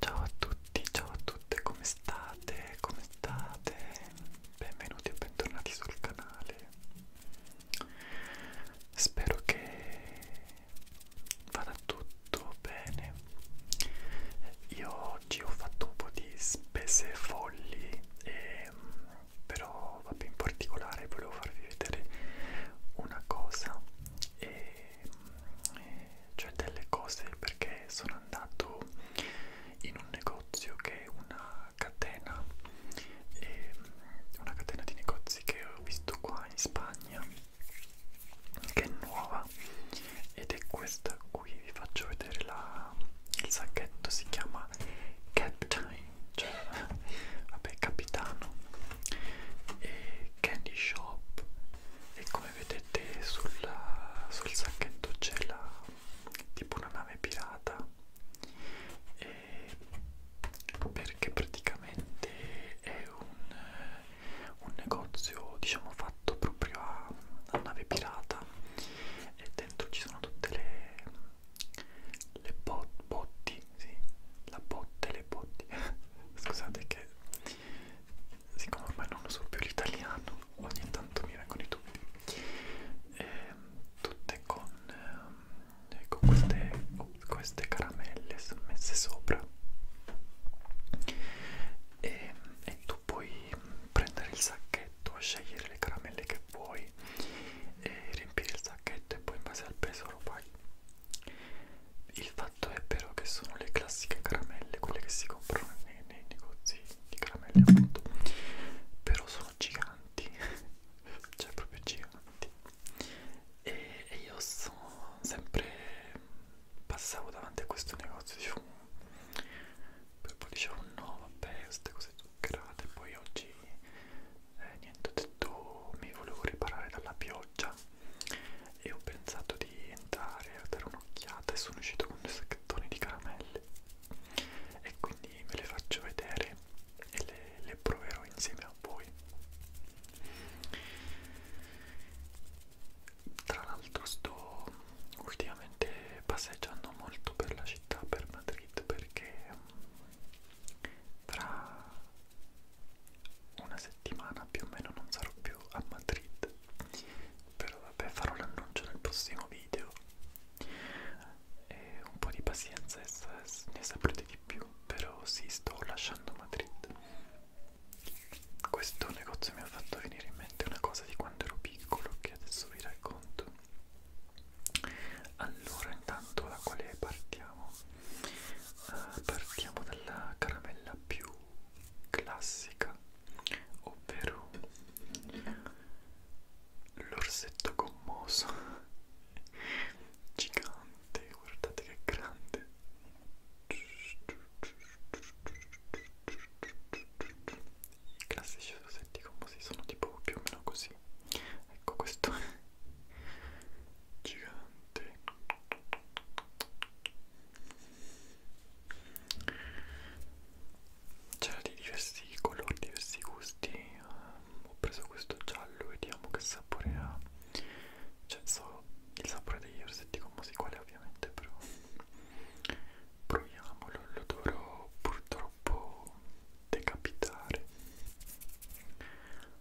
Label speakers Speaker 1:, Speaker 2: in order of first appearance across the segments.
Speaker 1: Ciao a tutti, ciao a tutte, come state? Come state? Benvenuti e bentornati sul canale. Spero che vada tutto bene. Io oggi ho fatto un po' di spese folli, e, ehm, però vabbè, in particolare volevo farvi vedere una cosa. E cioè delle cose perché sono andato in un negozio che è una catena e una catena di negozi che ho visto qua in Spagna che è nuova ed è questa qui vi faccio vedere la, il sacchetto si chiama Captain cioè vabbè capitano e candy shop e come vedete sulla, sul sacchetto c'è la tipo una nave pirata e perché praticamente è un, un negozio diciamo fatto proprio a, a nave pirata e dentro ci sono tutte le le bot, botti sì, la botte, le botti, scusate che siccome ormai non uso più l'italiano, ogni tanto mi vengono i dubbi, e, ehm, tutte con, eh, con queste, queste caramelle messe sopra e, ehm, e tu puoi prendere il sacchetto, scegliere le caramelle che vuoi e riempire il sacchetto e poi in base al peso lo paghi il fatto è però che sono le classiche caramelle, quelle che si comprano nei, nei negozi di caramelle appunto, però sono giganti, cioè proprio giganti. E, e io sono sempre passavo davanti a questo negozio, dicevo, mm, poi dicevo no vabbè, queste cose zuccherate, poi oggi eh, niente ho detto mi volevo riparare dalla pioggia e ho pensato di entrare a dare un'occhiata e sono uscito con due sacchettoni di caramelle e quindi ve le faccio vedere e le, le proverò insieme a voi tra l'altro sto ultimamente passeggiando molto per la città per Madrid perché tra una settimana più o meno non sarò più a Madrid però vabbè farò l'annuncio nel prossimo video e un po' di pazienza ne saprete di più però sì sto lasciando Madrid questo negozio mi ha fatto venire in mente una cosa di quando ero piccolo che adesso vi racconto allora intanto da quale partiamo proviamo uh, eh, partiamo dalla caramella più classica ovvero l'orsetto gommoso gigante guardate che grande i classici orsetti gommosi sono tipo più o meno così così ecco questo gigante c'era di diversi colori diversi gusti um, ho preso questo giallo vediamo che sapore ha cioè so il sapore degli orsetti commosi quale ovviamente però proviamolo lo dovrò purtroppo decapitare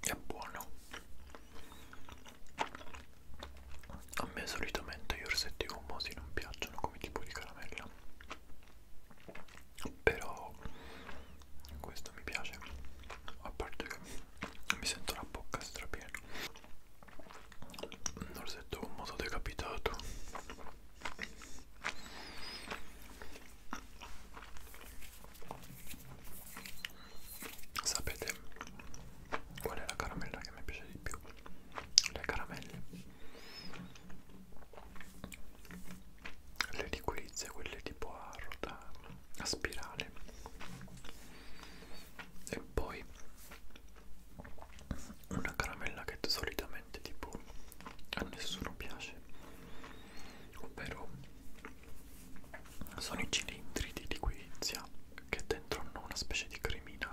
Speaker 1: è buono a me solitamente gli orsetti gommosi non piacciono come tipo di caramella però questo mi piace a parte che mi sento la bocca strapiena un orsetto gommoso decapitato Sapete qual è la caramella che mi piace di più? Le caramelle. Le liquizie, quelle tipo a rotare, a spirale. E poi una caramella che solitamente tipo a nessuno piace ovvero sono i cilindri di liquidizia che dentro hanno una specie di cremina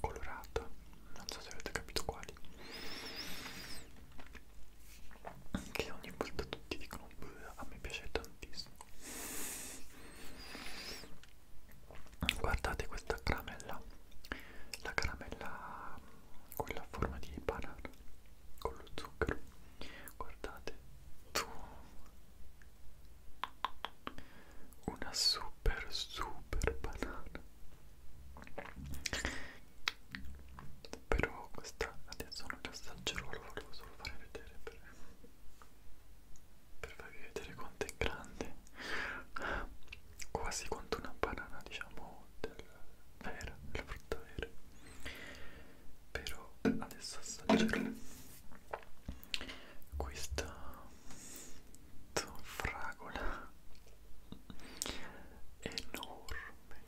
Speaker 1: colorata non so se avete capito quali che ogni volta tutti dicono a me piace tantissimo guardate questa caramella la caramella quella a forma di banana con lo zucchero guardate tu una super super banana però questa adesso non la assaggerò la volevo solo fare vedere per, per farvi vedere quanto è grande quasi quanto una banana diciamo della vera, della frutta vera però adesso assaggerò questa fragola enorme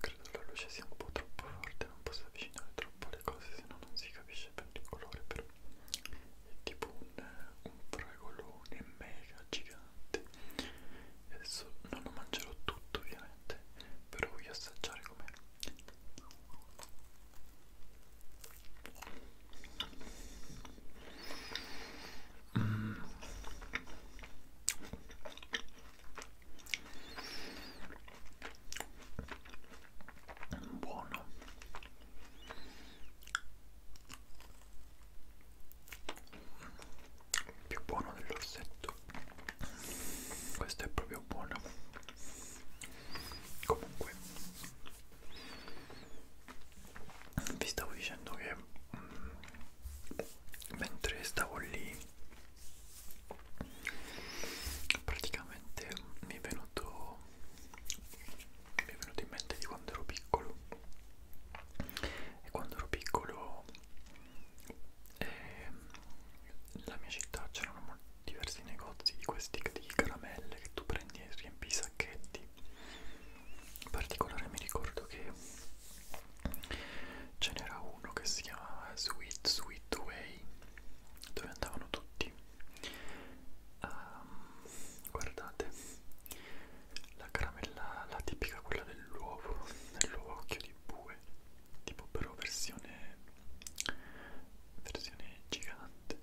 Speaker 1: credo la luce sia un po' troppo forte non posso avvicinare troppo le cose se no non si capisce bene il colore però tipo un, un fragolone mega gigante adesso non lo mangerò tutto ovviamente però voglio assaggiare com'è mm. buono più buono dell'orsetto questo è proprio buono comunque vi stavo dicendo che mh, mm, mentre stavo lì praticamente mi è venuto mi è venuto in mente di quando ero piccolo e quando ero piccolo eh, nella mia città c'erano diversi negozi di questi di caramelle che tu prendi e riempi i sacchetti in particolare mi ricordo che ce n'era uno che si chiamava Sweet Sweet Way dove andavano tutti Um, guardate la caramella, la tipica quella dell'uovo, dell'uovo occhio di bue, tipo però versione, versione gigante.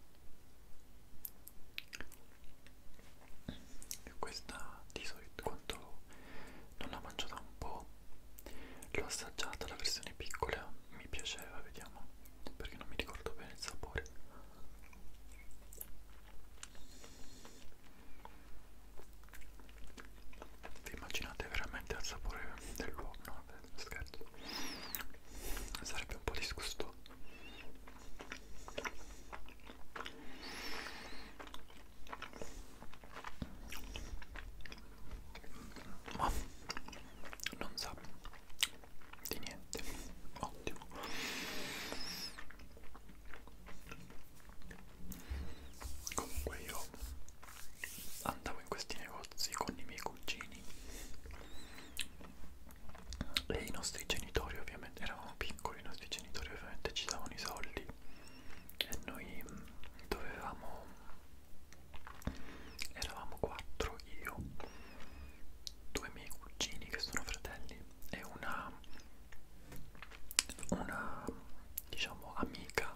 Speaker 1: E questa di solito quando non l'ho mangiata un po', l'ho assaggiata la versione piccola, mi piaceva, vediamo perché non mi ricordo bene il sapore vi immaginate veramente al sapore dell'uovo? No, scherzo. Sarebbe un po' disgustoso. Ma non sa di niente ottimo comunque io andavo in questi negozi con i miei cugini e i nostri genitori ovviamente eravamo piccoli i nostri genitori ovviamente ci davano i soldi e noi mm, dovevamo eravamo quattro io due miei cugini che sono fratelli e una, una diciamo amica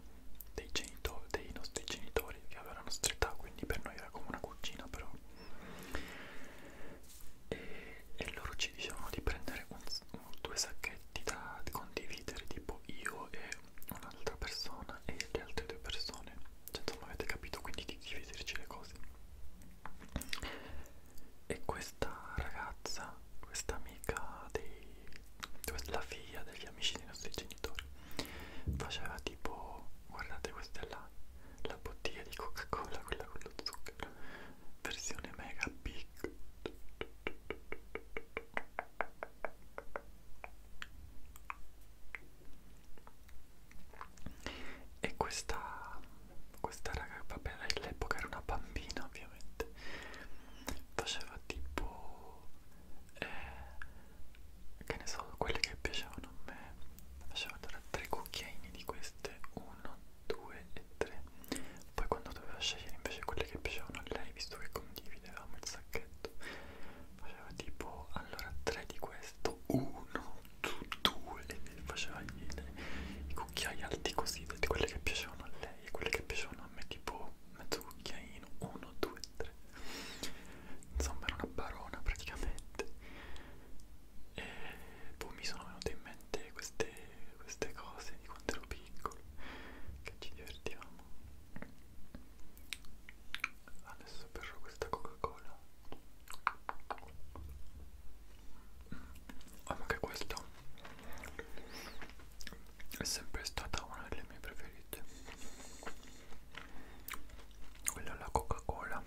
Speaker 1: dei, genitori, dei nostri genitori che aveva la nostra età, quindi per noi era come una cugina però e, e loro ci dicevano di prendere un, un, due sacchetti da condividere tipo io e un'altra persona persona e le altre due persone cioè insomma avete capito quindi di dividerci le cose e questa ragazza questa amica dei la figlia degli amici dei nostri genitori faceva tipo guardate questa è la, la bottiglia di coca cola quella con lo zucchero versione mega big e questa, questa raga, vabbè, all'epoca era una bambina ovviamente, faceva tipo, eh, che ne so, quelle che piacevano a me, faceva tra tre cucchiaini di queste, uno, due e tre, poi quando doveva scegliere invece quelle che piacevano a lei, visto che condividevamo il sacchetto, faceva tipo allora 3 di questo 1 2 e faceva i, i cucchiai alti così di quelli che piacevano a lei e quelli che piacevano a me tipo mezzo cucchiaino 1 2 3 insomma era una barona praticamente e poi boh, mi sono venute in mente queste, queste cose di quando ero piccolo che ci divertivamo Adesso berrò questa Coca-Cola. Oh, ma che questo è sempre stata una delle mie preferite. Quella alla Coca-Cola.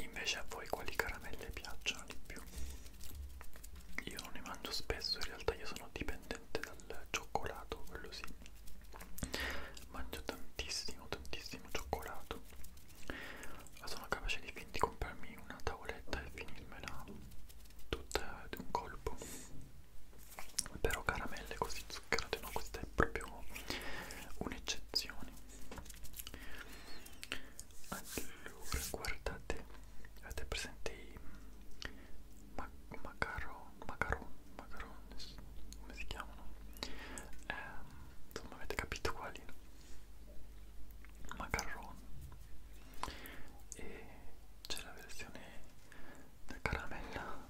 Speaker 1: Invece a voi quali caramelle piacciono di più? Io non ne mangio spesso, in realtà io sono dipendente dal cioccolato, quello sì mangio tantissimo tantissimo cioccolato ma sono capace di, fin di comprarmi una tavoletta e finirmela tutta di un colpo però caramelle così zuccherate no questa è proprio un'eccezione allora guardate avete presente i ma macaron, macaron, macaron, come si chiamano? Eh, insomma avete capito quali? Macaron. E c'è la versione da caramella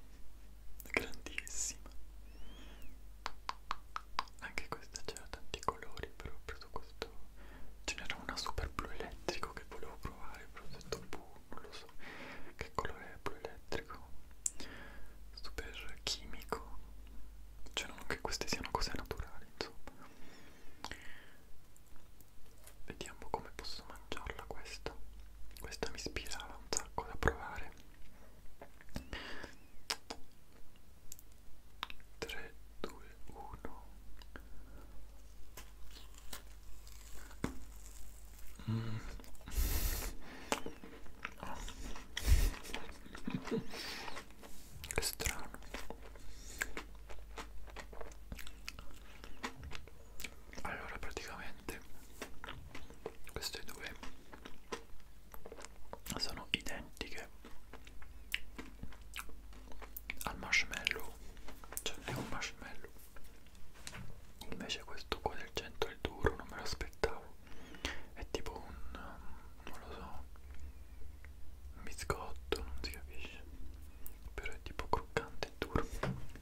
Speaker 1: grandissima. Anche questa c'era tanti colori, però ho preso questo. Ce n'era una super blu elettrico che volevo provare, però ho detto buh, non lo so che colore è blu elettrico super chimico cioè non che queste siano cose naturali insomma vediamo come posso mangiarla questa questa mi ispirava un sacco da provare 3 2 1 Mm. Che strano. Allora praticamente queste due sono identiche al marshmallow. Cioè è un marshmallow invece questo qua del 100 è il duro non me lo aspettavo è tipo un um, non lo so un biscotto non si capisce però è tipo croccante e duro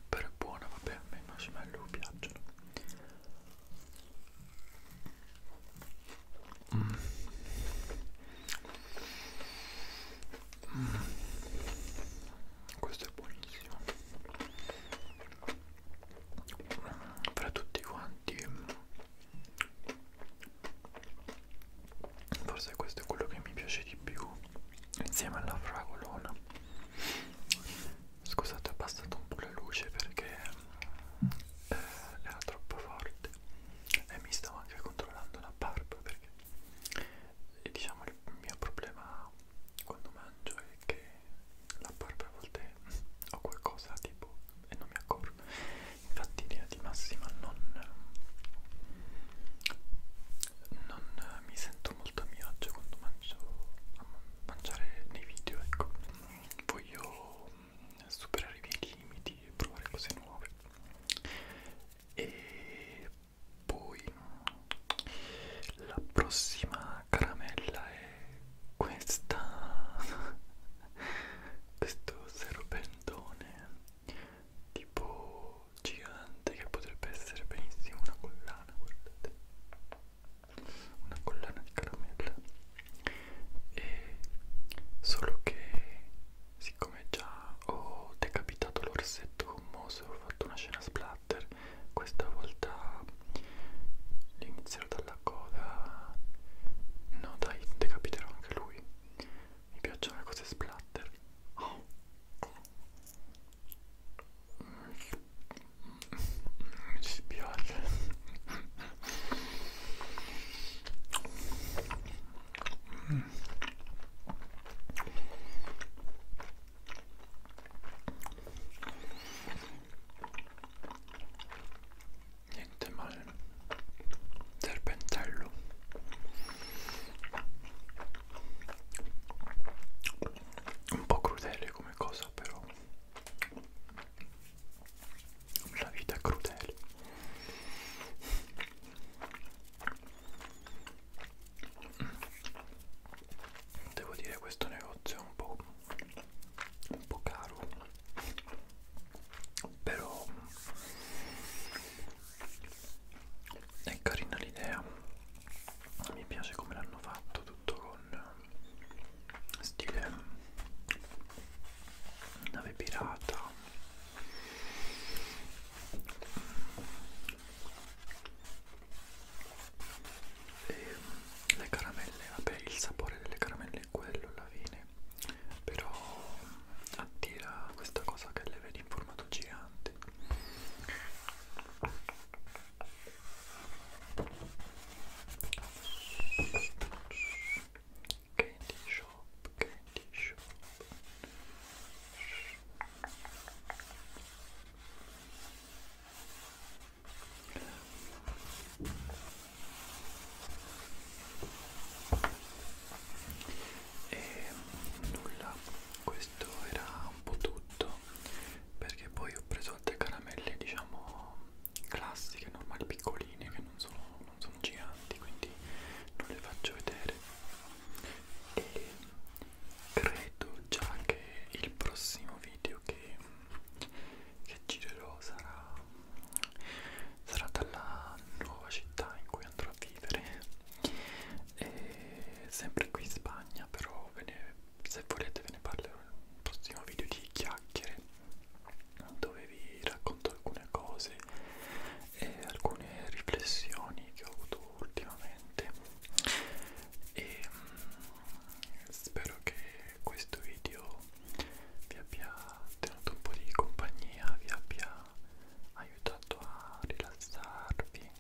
Speaker 1: però è buono vabbè a me i marshmallow piacciono mm. Mm. Questo è buonissimo. Fra tutti quanti, mm, forse questo è quello che mi piace di più insieme alla fragolona. Scusate, ho abbassato un po' la luce perché eh, era troppo forte e mi stavo anche controllando la barba perché e diciamo il mio problema quando mangio è che la barba a volte ho qualcosa tipo e non mi accorgo infatti in linea di massima non non mi sento molto a mio agio quando mangio a mangiare nei video ecco voglio superare i miei limiti e provare cose nuove e poi la prossima caramella è questa, questo serpentone tipo gigante che potrebbe essere benissimo una collana, guardate, una collana di caramella. E solo che siccome già ho decapitato l'orsetto gommoso e ho fatto una scena splatter, questa volta inizierò dalla coda. No dai, decapiterò anche lui. Mi piacciono le cose splatter. Oh. Mi dispiace niente male serpentello un po' crudele come cosa però la vita è crudele Devo dire questo negozio è un po', un po caro, però è carina l'idea, mi piace come l'hanno fatto tutto con stile nave pirata e ehm, le caramelle, vabbè il sapore delle caramelle è quello alla fine, però attira questa cosa che le vedi in formato gigante candy shop, candy shop. E nulla, questo era un po' tutto perché poi ho preso altre caramelle diciamo classiche, normali, piccoline che non sono non sono giganti quindi non le faccio vedere e credo già che il prossimo video che, che girerò sarà sarà dalla nuova città in cui andrò a vivere e sempre qui in Spagna però ve ne, se volete ve ne parlerò nel prossimo video di chiacchiere dove vi racconto alcune cose e alcune riflessioni che ho avuto ultimamente e mh, mm, spero che questo video vi abbia tenuto un po' di compagnia, vi abbia aiutato a rilassarvi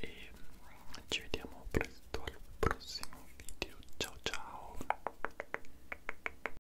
Speaker 1: e mh, mm, ci vediamo presto al prossimo video. Ciao ciao!